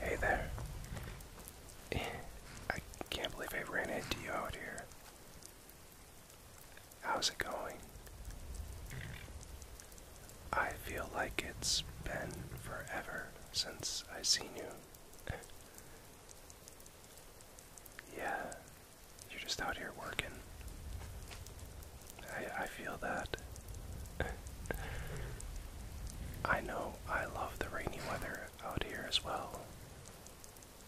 Hey there. I can't believe I ran into you out here. How's it going? I feel like it's been forever since I seen you. yeah, you're just out here working. I I feel that. I know I love the rainy weather out here as well.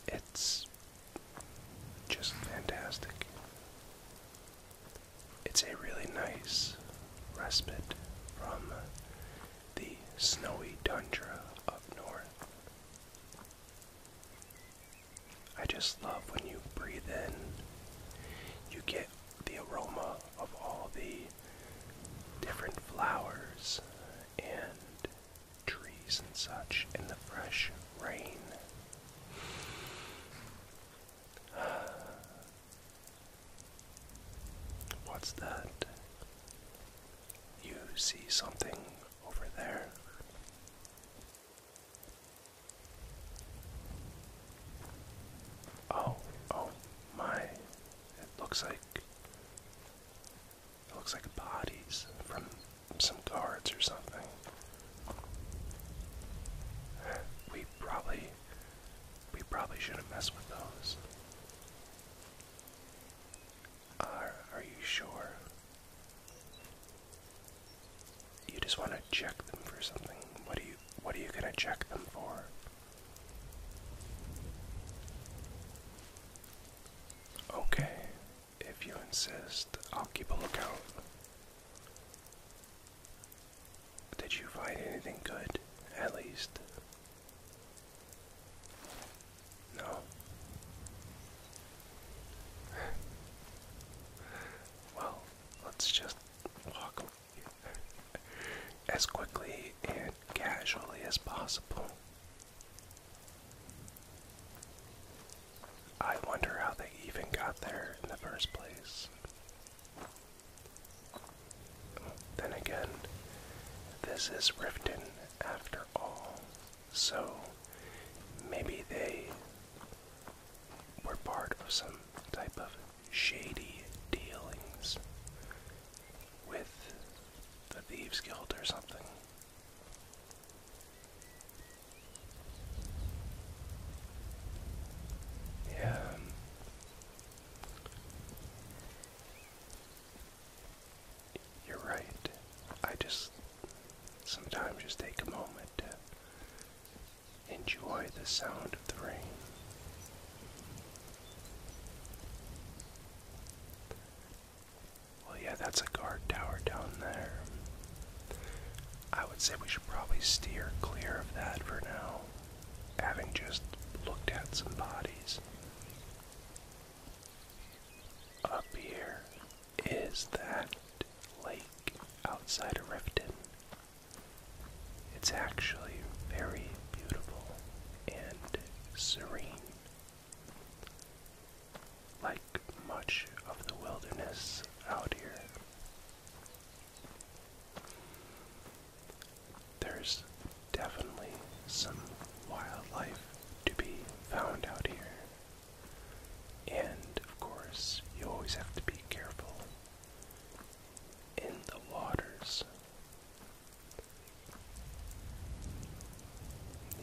It's just fantastic. It's a really nice respite from the snowy tundra up north. I just love when you breathe in, you get the aroma of all the different flowers and trees and such, in the fresh rain. what's that? You see something over there? Oh, oh my. It looks like it looks like bodies from some guards or something. We probably we probably shouldn't mess with those. Are are you sure? You just want to check them for something. What do you what are you gonna check them for? Okay, if you insist, I'll keep a lookout. Did you find anything good, at least? No. well, let's just walk as quickly and casually as possible. I wonder how they even got there in the first place. Then again, this is Riften after all, so maybe they were part of some type of shady dealings with the Thieves Guild or something. Yeah. You're right. I just sometimes just take a moment Enjoy the sound of the rain. Well, yeah, that's a guard tower down there. I would say we should probably steer clear of that for now, having just looked at some bodies. Up here is that lake outside of Riften it's actually very beautiful and serene. Like much of the wilderness out here, there's definitely some wildlife to be found out here. And of course, you always have to be careful in the waters.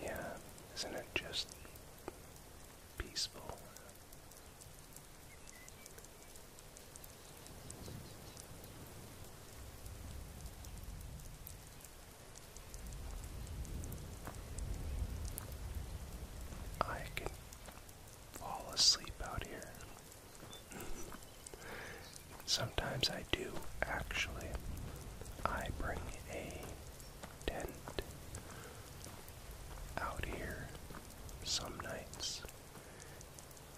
Yeah, isn't it just peaceful? I can fall asleep out here. Sometimes I do actually. I bring a tent out here some nights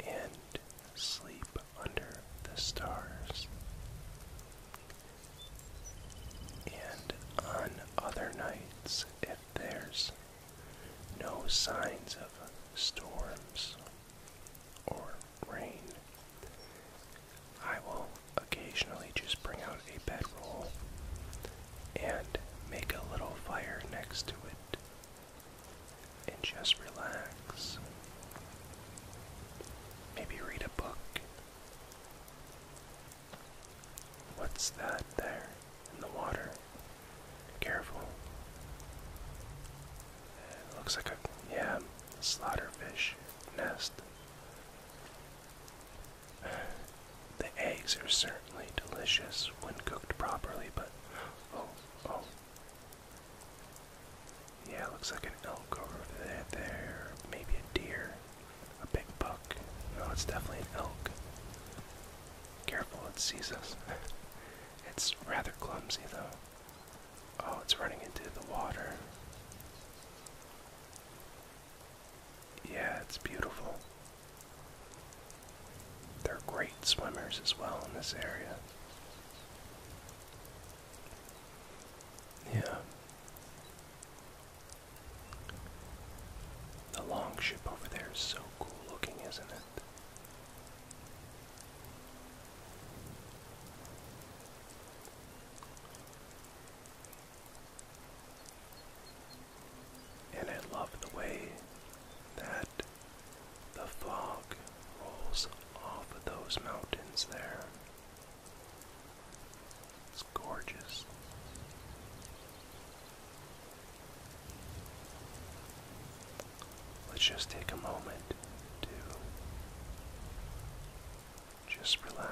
and sleep under the stars. And on other nights, if there's no signs of storms or rain. I will occasionally just bring out a bedroll and make a little fire next to it and just relax. Maybe read a book. What's that there? in the water. Careful. It looks like a, yeah, slaughterfish nest. The eggs are certainly delicious when cooked properly, but oh, oh. Yeah, looks like an elk over there, there. Maybe a deer. A big buck. No, it's definitely an elk. Careful, it sees us. it's rather clumsy, though. Oh, it's running into the water. Yeah, it's beautiful. They're great swimmers as well in this area. Yeah. The long ship over there is so cool looking, isn't it? And I love the way that the fog rolls off of those mountains there. It's gorgeous. Let's just take a moment to just relax.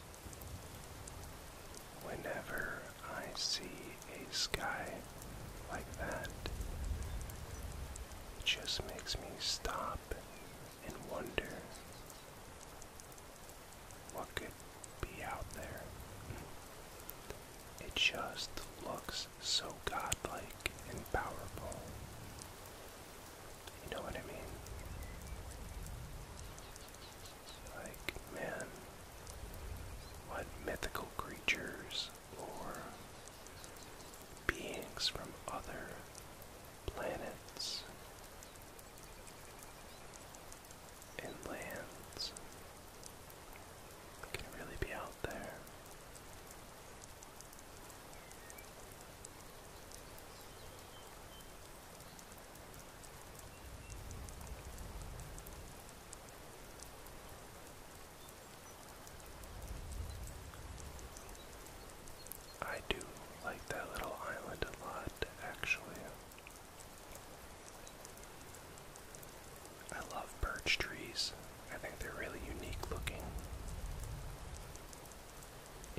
Whenever I see a sky like that, it just makes me stop and wonder what could be out there. It just looks so godlike and powerful. You know what I mean? Like, man, what mythical creatures or beings from other planets and lands can really be out there? I do like that little island a lot, actually. I love birch trees. I think they're really unique looking.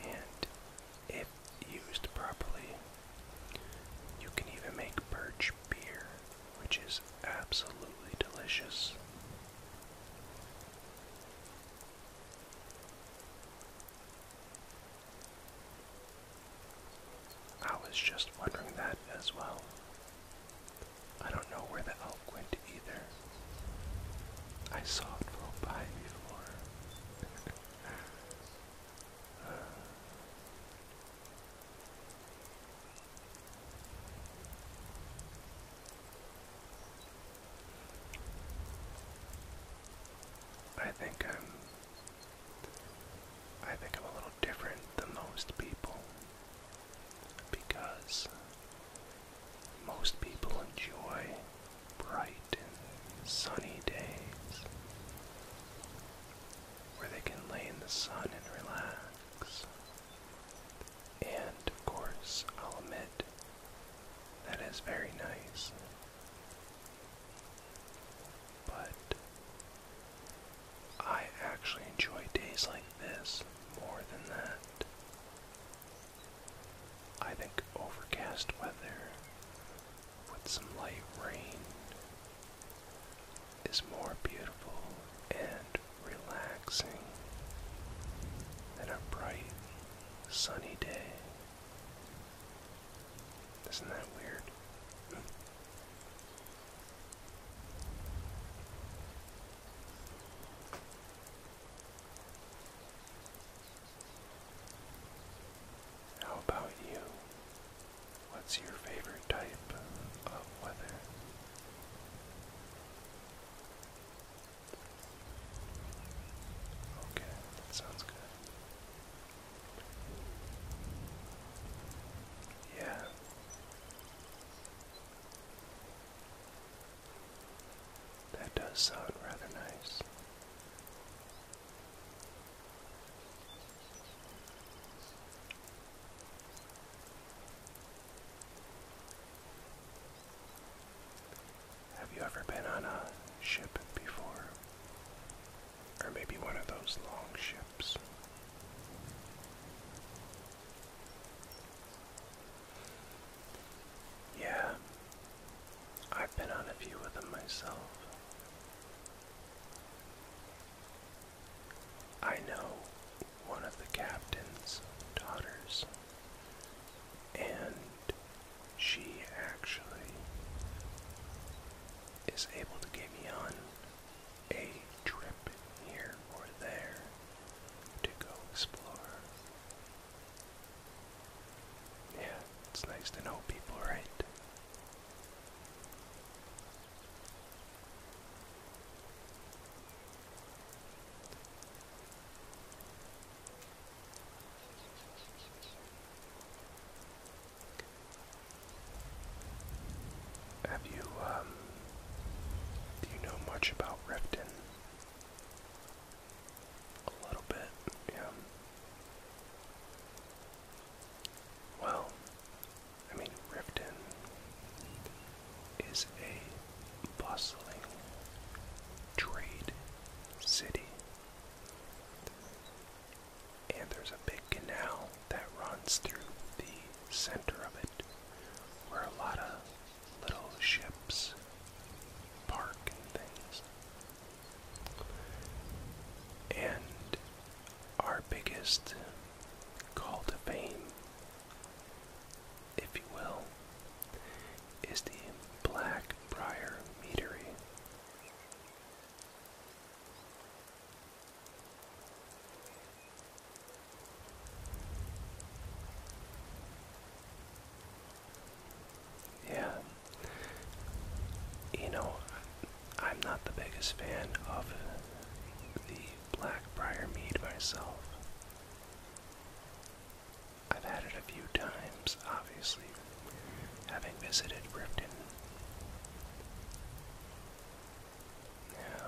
And used properly. You can even make birch beer, which is absolutely delicious. I was just wondering that as well. I don't know where the elk went either. I saw it roll by before. I think I'm I think I'm a little different than most people because most people enjoy bright in sunny days where they can lay in the sun and relax. And of course, I'll admit that is very nice. But I actually enjoy days like this more than that. I think overcast weather with some light rain is more beautiful and relaxing than a bright sunny day. Isn't that weird? How about you? What's your favorite type of weather? Okay, that sounds good. Yeah. That does sound rather nice. Have you ever been on a ship before? Or maybe one of those long ships? Yeah, I've been on a few of them myself. I know one of the captain's daughters, and she actually is able to get me on a trip here or there to go explore yeah, it's nice to know people, right? Have you, um, do you know much about Riften? A little bit, yeah. Well, I mean, Riften is a bustling trade city. And there's a big canal that runs through the center of it where a lot of little ships park and things. And our biggest call to fame, if you will, is the Blackbriar Meadery. Yeah. You know, I'm not the biggest fan of the Blackbriar mead myself. I've had it a few times, obviously, having visited Riften. Yeah.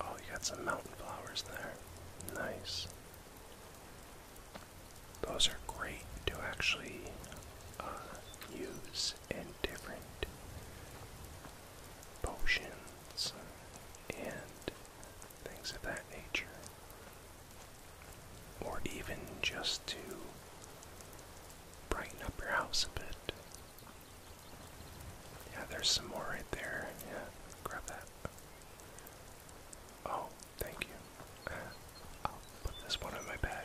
Oh, you got some mountain flowers there. Nice. Those are great to actually uh, use in different potions and things of that nature. Or even just to brighten up your house a bit. Yeah, there's some more right there. Yeah, grab that. Oh, thank you. I'll put this one in my bag.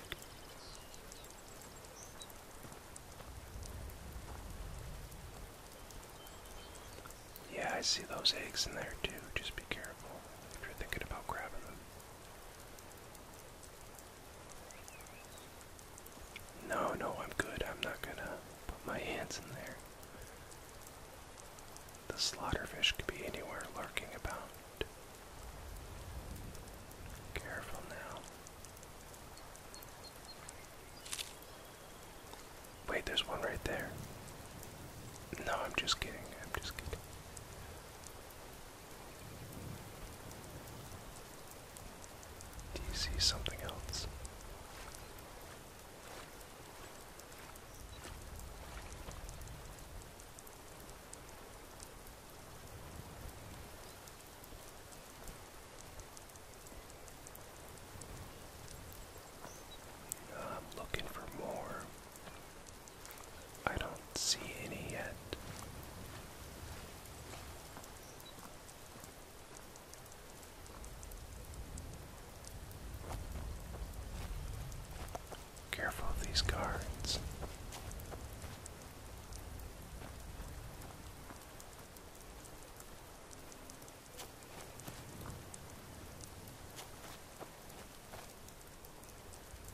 Yeah, I see those eggs in there too. Just be careful if you're thinking about grabbing them. No, no, I'm good. I'm not gonna put my hands in there. The slaughterfish could be anywhere lurking about. Careful now. Wait, there's one right there. No, I'm just kidding. I'm just kidding. Do you see something else? I'm looking for more. I don't see any yet. Careful of these guards.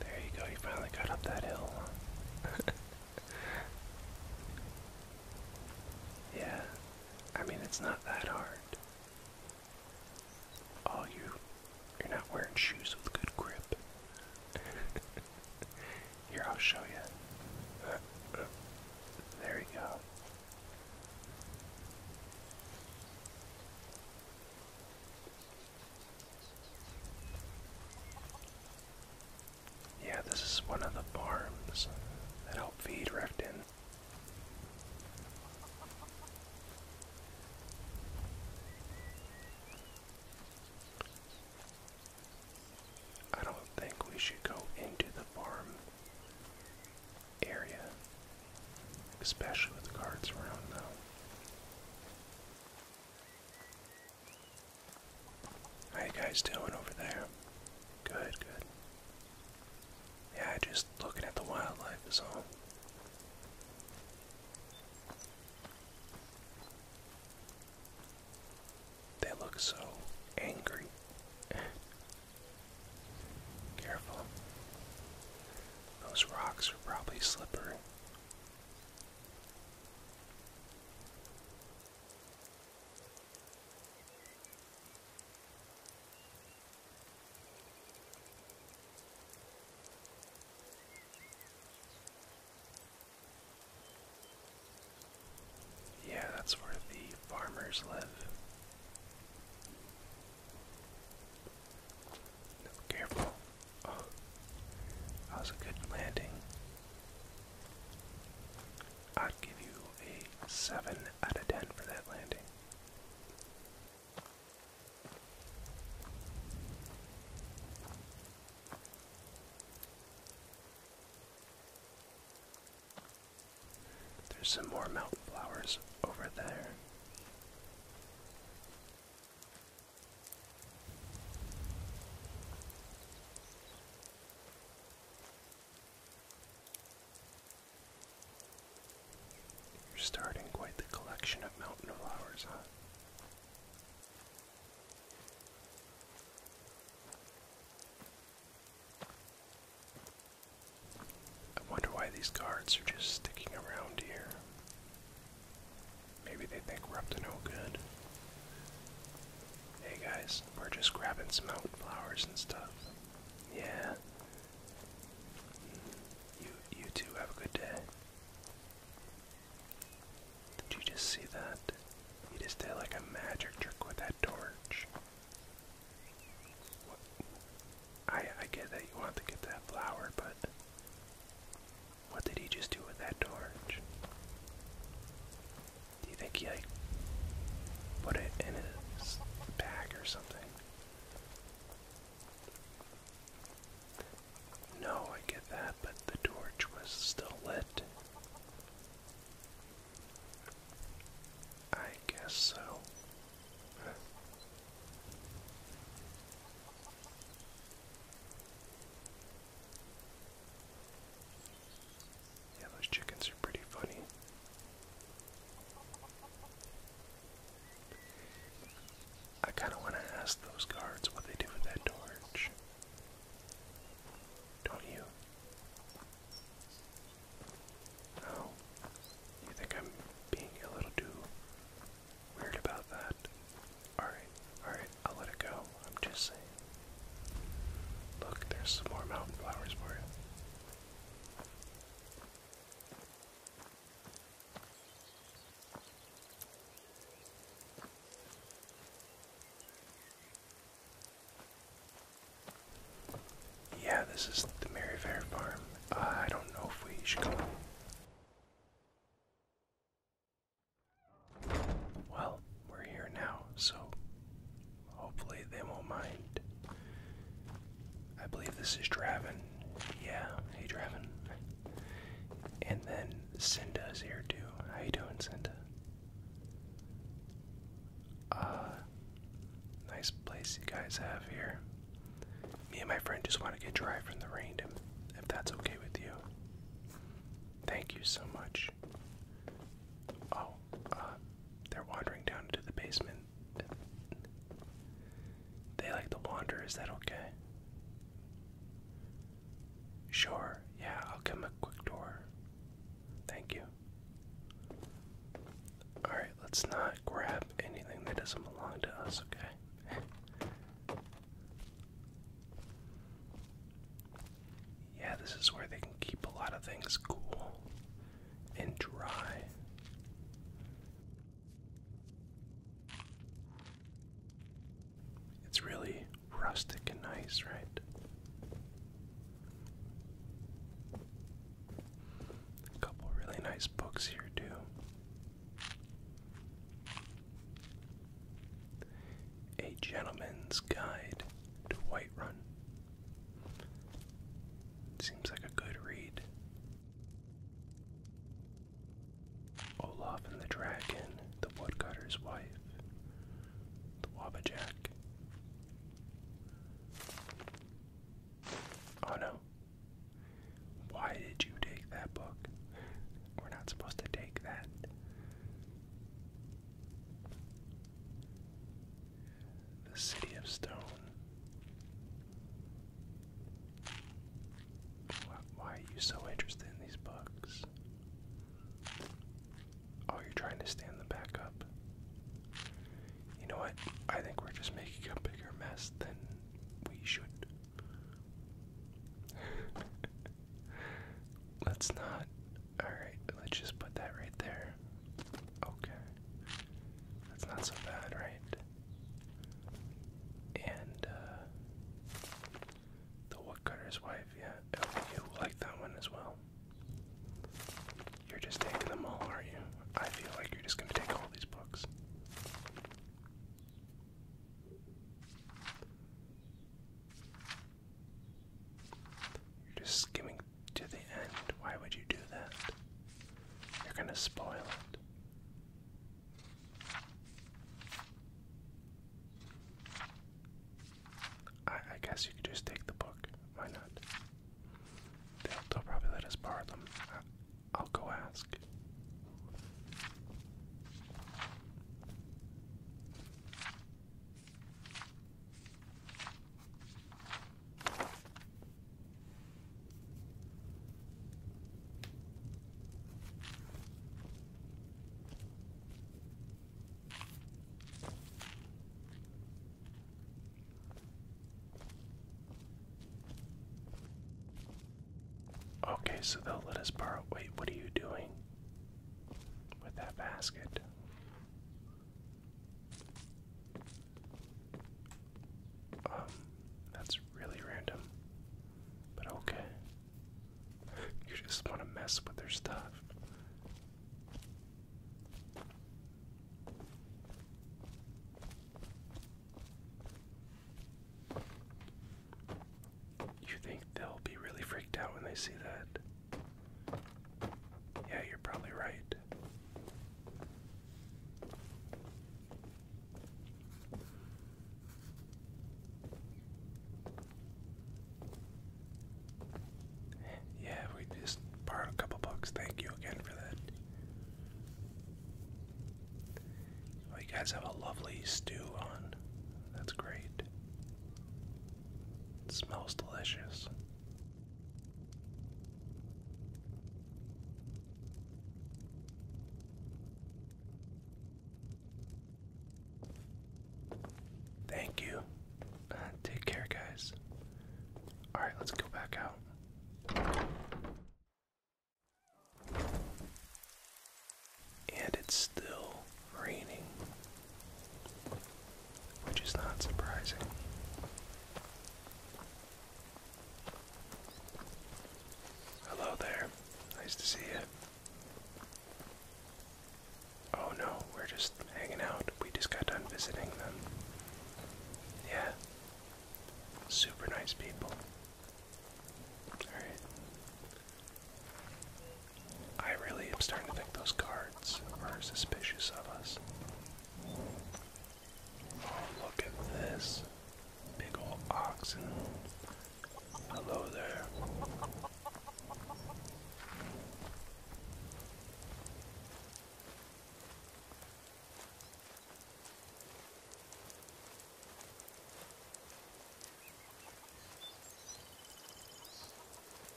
There you go, you finally got up that hill. yeah, I mean, it's not that hard. Oh, you, you're not wearing shoes with good grip. Here, I'll show you. There you go. Yeah, this is one of the farms that help feed Riften. I don't think we should go into the farm area, especially with guards around, though. How you guys doing over there? Good, good. Yeah, just looking at the wildlife is all. They look so angry. Careful. Those rocks are probably slippery. Yeah, that's where the farmers live. careful. Oh, that was a good landing. I'd give you a 7 out of 10 for that landing. There's some more mountain flowers over there. You're starting quite the collection of mountain flowers, huh? I wonder why these cards are just sticking around here. Maybe they think we're up to no good. Hey guys, we're just grabbing some flowers and stuff. Yeah. You you two have a good day. Did you just see that? He just did like a magic trick with that torch. I I get that you want to get that flower, but what did he just do with that torch? Do you think he like put it in his bag or something? No, I get that, but the torch was still lit. I guess so. Yeah, those chickens are pretty funny. I kind of want to ask those guards what they do with that torch. Don't you? No. Oh, you think I'm being a little too weird about that? Alright, alright. I'll let it go. I'm just saying. Look, there's some more mountain flowers for you. Yeah, this is the Mary farm. Uh, I don't know if we should go. Well, we're here now, so hopefully they won't mind. I believe this is Draven. Yeah, hey Draven. And then Cinda is here too. How you doing, Sinda? Uh nice place you guys have here. Me and my friend just want to get dry from the rain if that's okay with you. Thank you so much. Oh, uh, they're wandering down into the basement. They like to wander, is that okay? Sure, yeah, I'll come them a quick tour. Thank you. Alright, let's not grab anything that doesn't belong to us, okay? Yeah, this is where they can keep a lot of things cool and dry. It's really rustic and nice, right? A couple really nice books here, too. A Gentleman's Guide to Whiterun. Seems like a good read. Olaf and the Dragon, The Woodcutter's Wife, The Wabajack. Oh no. Why did you take that book? We're not supposed to take that. The City of Stone. Why, are you so interested in these books? Oh, you trying to stand them back up. You know what? I think we're just making a bigger mess than we should. Let's not Alright, let's just put that right there. Okay. That's not so bad, right? And, uh, the woodcutter's wife, yeah. Oh, you like that one as well. You're just taking them all, are you? I feel like you're just gonna take all these books. You're just skimming to the end. Why would you do that? You're gonna spoil it. I, guess you could just take the book. Why not? They'll, probably let us borrow them. I'll go ask. Okay, so they'll let us borrow. Wait, what are you doing? with that basket. Um, that's really random, but okay. You just want to mess with their stuff. You think they'll be really freaked out when they see that? Yeah, you're probably right. Yeah, we just borrowed a couple bucks. Thank you again for that. you guys have a lovely stew on. That's great. It smells delicious. Thank you. take care, guys. Alright, let's go back out and it's still raining, which is not surprising. Hello there, nice to see you. Oh no, we're just hanging out. We just got done visiting them. Yeah, super nice people. Alright, I really am starting to think those guards are suspicious of us. Oh, look at this. Big old oxen. Hello there.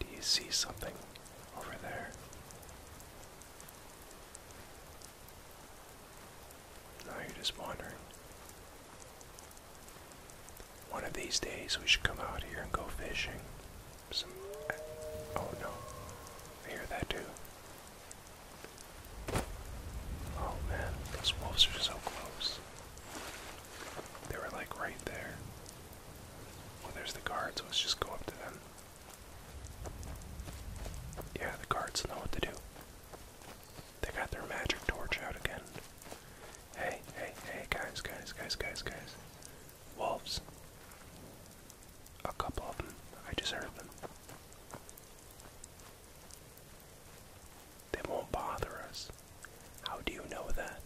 Do you see something over there? Now you're just wandering. One of these days we should come out here and go fishing. Oh no. I hear that too. Oh man, those wolves are so close. They were like right there. Well, there's the guards. Let's just go up to them. Yeah, the guards know what to do. They got their magic torch out again. Hey, hey, hey, guys, guys, guys, guys, guys. Wolves. A couple of them. I just heard them. They won't bother us. How do you know that?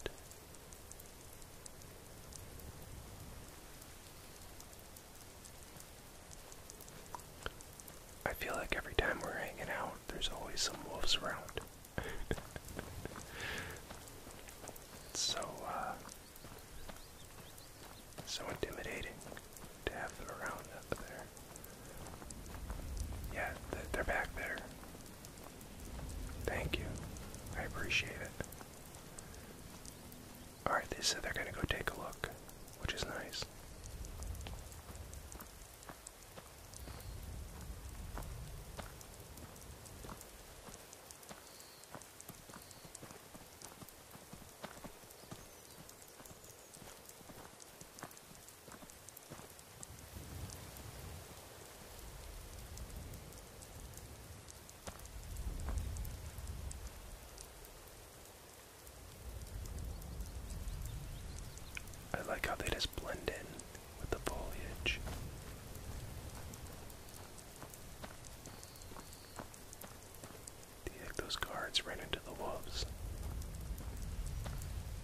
I feel like every time we're hanging out, there's always some wolves around. so, uh, so intimidating to have them around up there. Yeah, they're back there. Thank you. I appreciate it. Alright, they said they're gonna go take a look, which is nice. I like how they just blend in with the foliage. those guards ran into the wolves?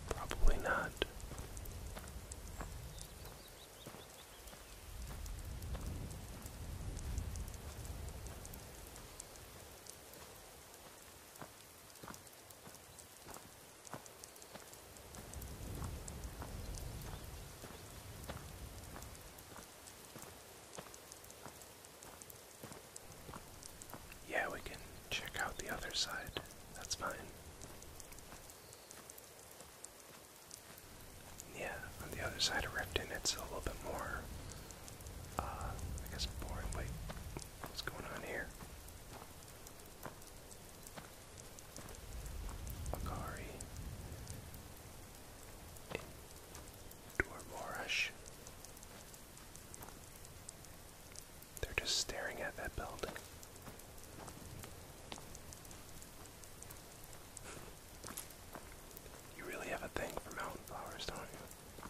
Probably not. Yeah, we can check out the other side. That's fine. Yeah, on the other side of Repton, it's a little bit more, uh, I guess, boring. Wait, what's going on here? Akari, Dormorash. They're just staring at that building. You really have a thing for mountain flowers, don't you?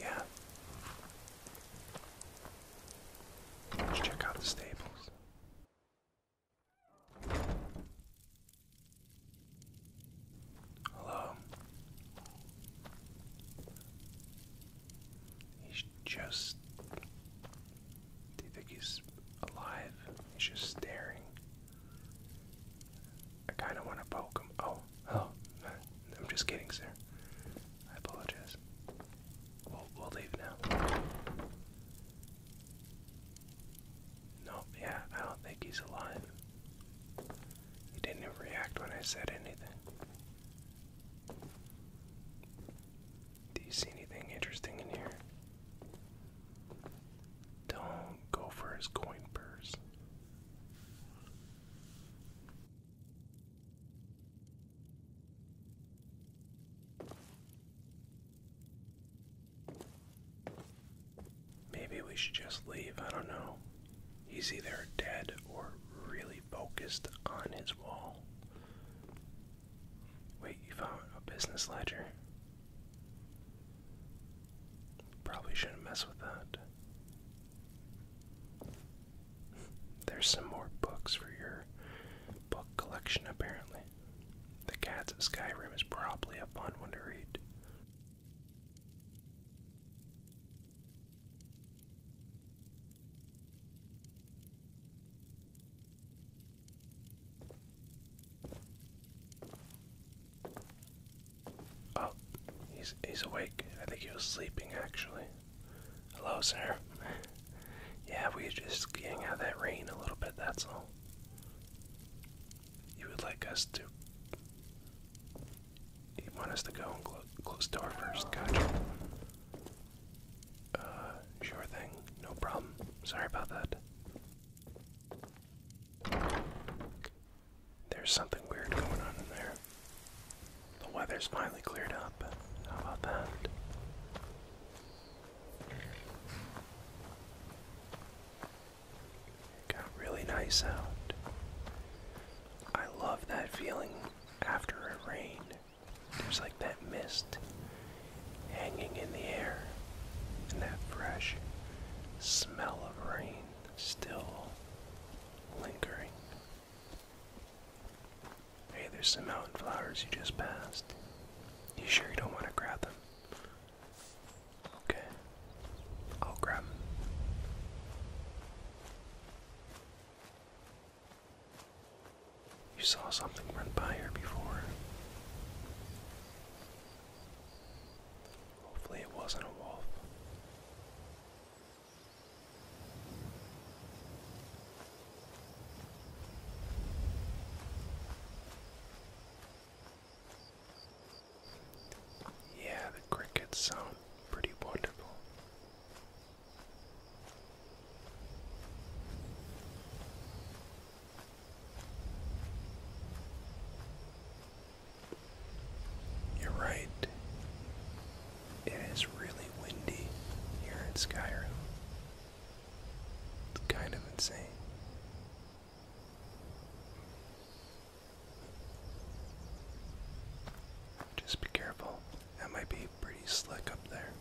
Yeah. Let's check out the stables. Hello. He's just. Do you think he's alive? He's just staring. I kind of want to poke him. Oh, oh, I'm just kidding, sir. I apologize. We'll, leave now. No, yeah, I don't think he's alive. He didn't even react when I said anything. Do you see anything interesting in here? Don't go for his coin purse. Maybe we should just leave. I don't know. He's either dead or really focused on his wall. Wait, you found a business ledger? Probably shouldn't mess with that. There's some more books for your book collection, apparently. The Cats of Skyrim is probably a fun one to read. Oh, he's he's awake. I think he was sleeping actually. Hello, sir. yeah, we were just getting out of that rain a little bit, that's all. You would like us to you want us to go and clo close door first, gotcha. Uh, sure thing. No problem. Sorry about that. There's something weird going on in there. The weather's finally cleared up. How about that? It got really nice out. I love that feeling after a rain. There's like that mist hanging in the air, and that fresh smell of rain still lingering. Hey, there's some mountain flowers you just passed. You sure you don't want to grab them? Okay, I'll grab them. You saw something run by here before. Hopefully, it wasn't a wolf. Yeah, the crickets sound pretty wonderful. You're right. It is really windy here in Skyrim. It's kind of insane. Just be careful. That might be pretty slick up there.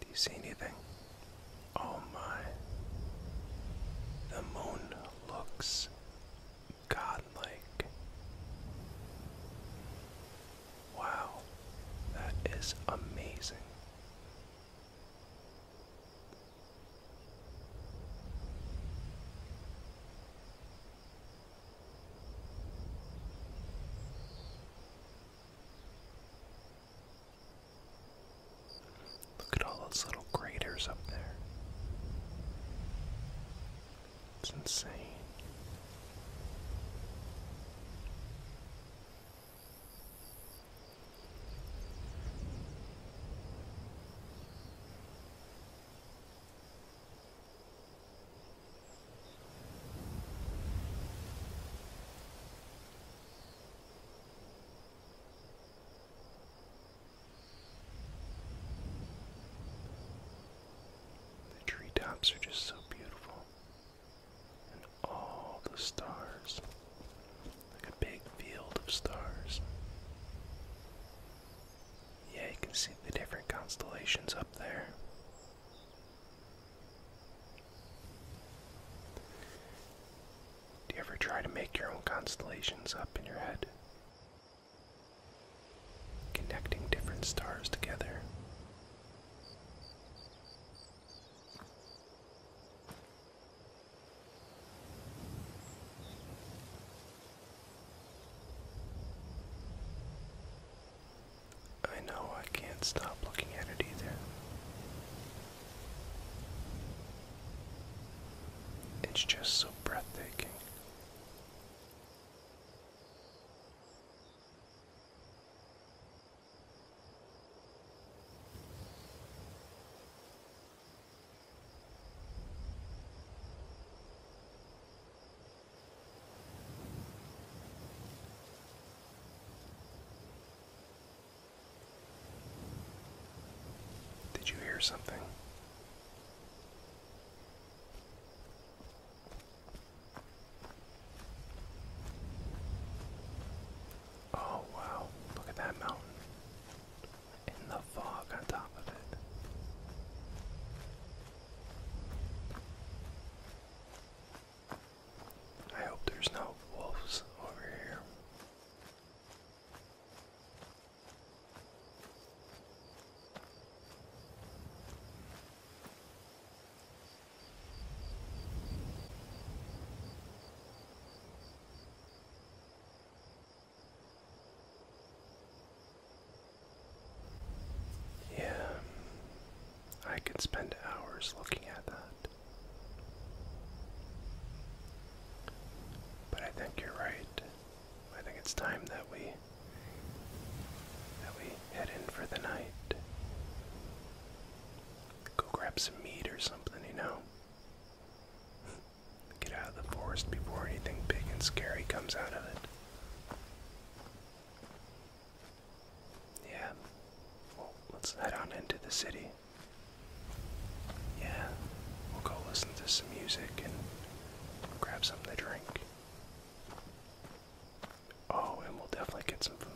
Do you see anything? Oh my. The moon looks godlike. Wow, that is amazing. Look at all those little craters up there. It's insane. The treetops are just so beautiful. And all the stars. Like a big field of stars. Yeah, you can see the different constellations up there. Do you ever try to make your own constellations up in your head? Connecting different stars together. I know I can't stop looking at it either. It's just so breathtaking. Did you hear something? Oh, wow, look at that mountain in the fog on top of it. I hope there's no wolves over here. Yeah, I could spend hours looking at that. But I think you're right. I think it's time that we that we head in for the night. Go grab some meat or something, you know. Get out of the forest before anything big and scary comes out of it. Yeah. Well, let's head on into the city. Yeah. We'll go listen to some music and grab something to drink. Oh, and we'll definitely get some food.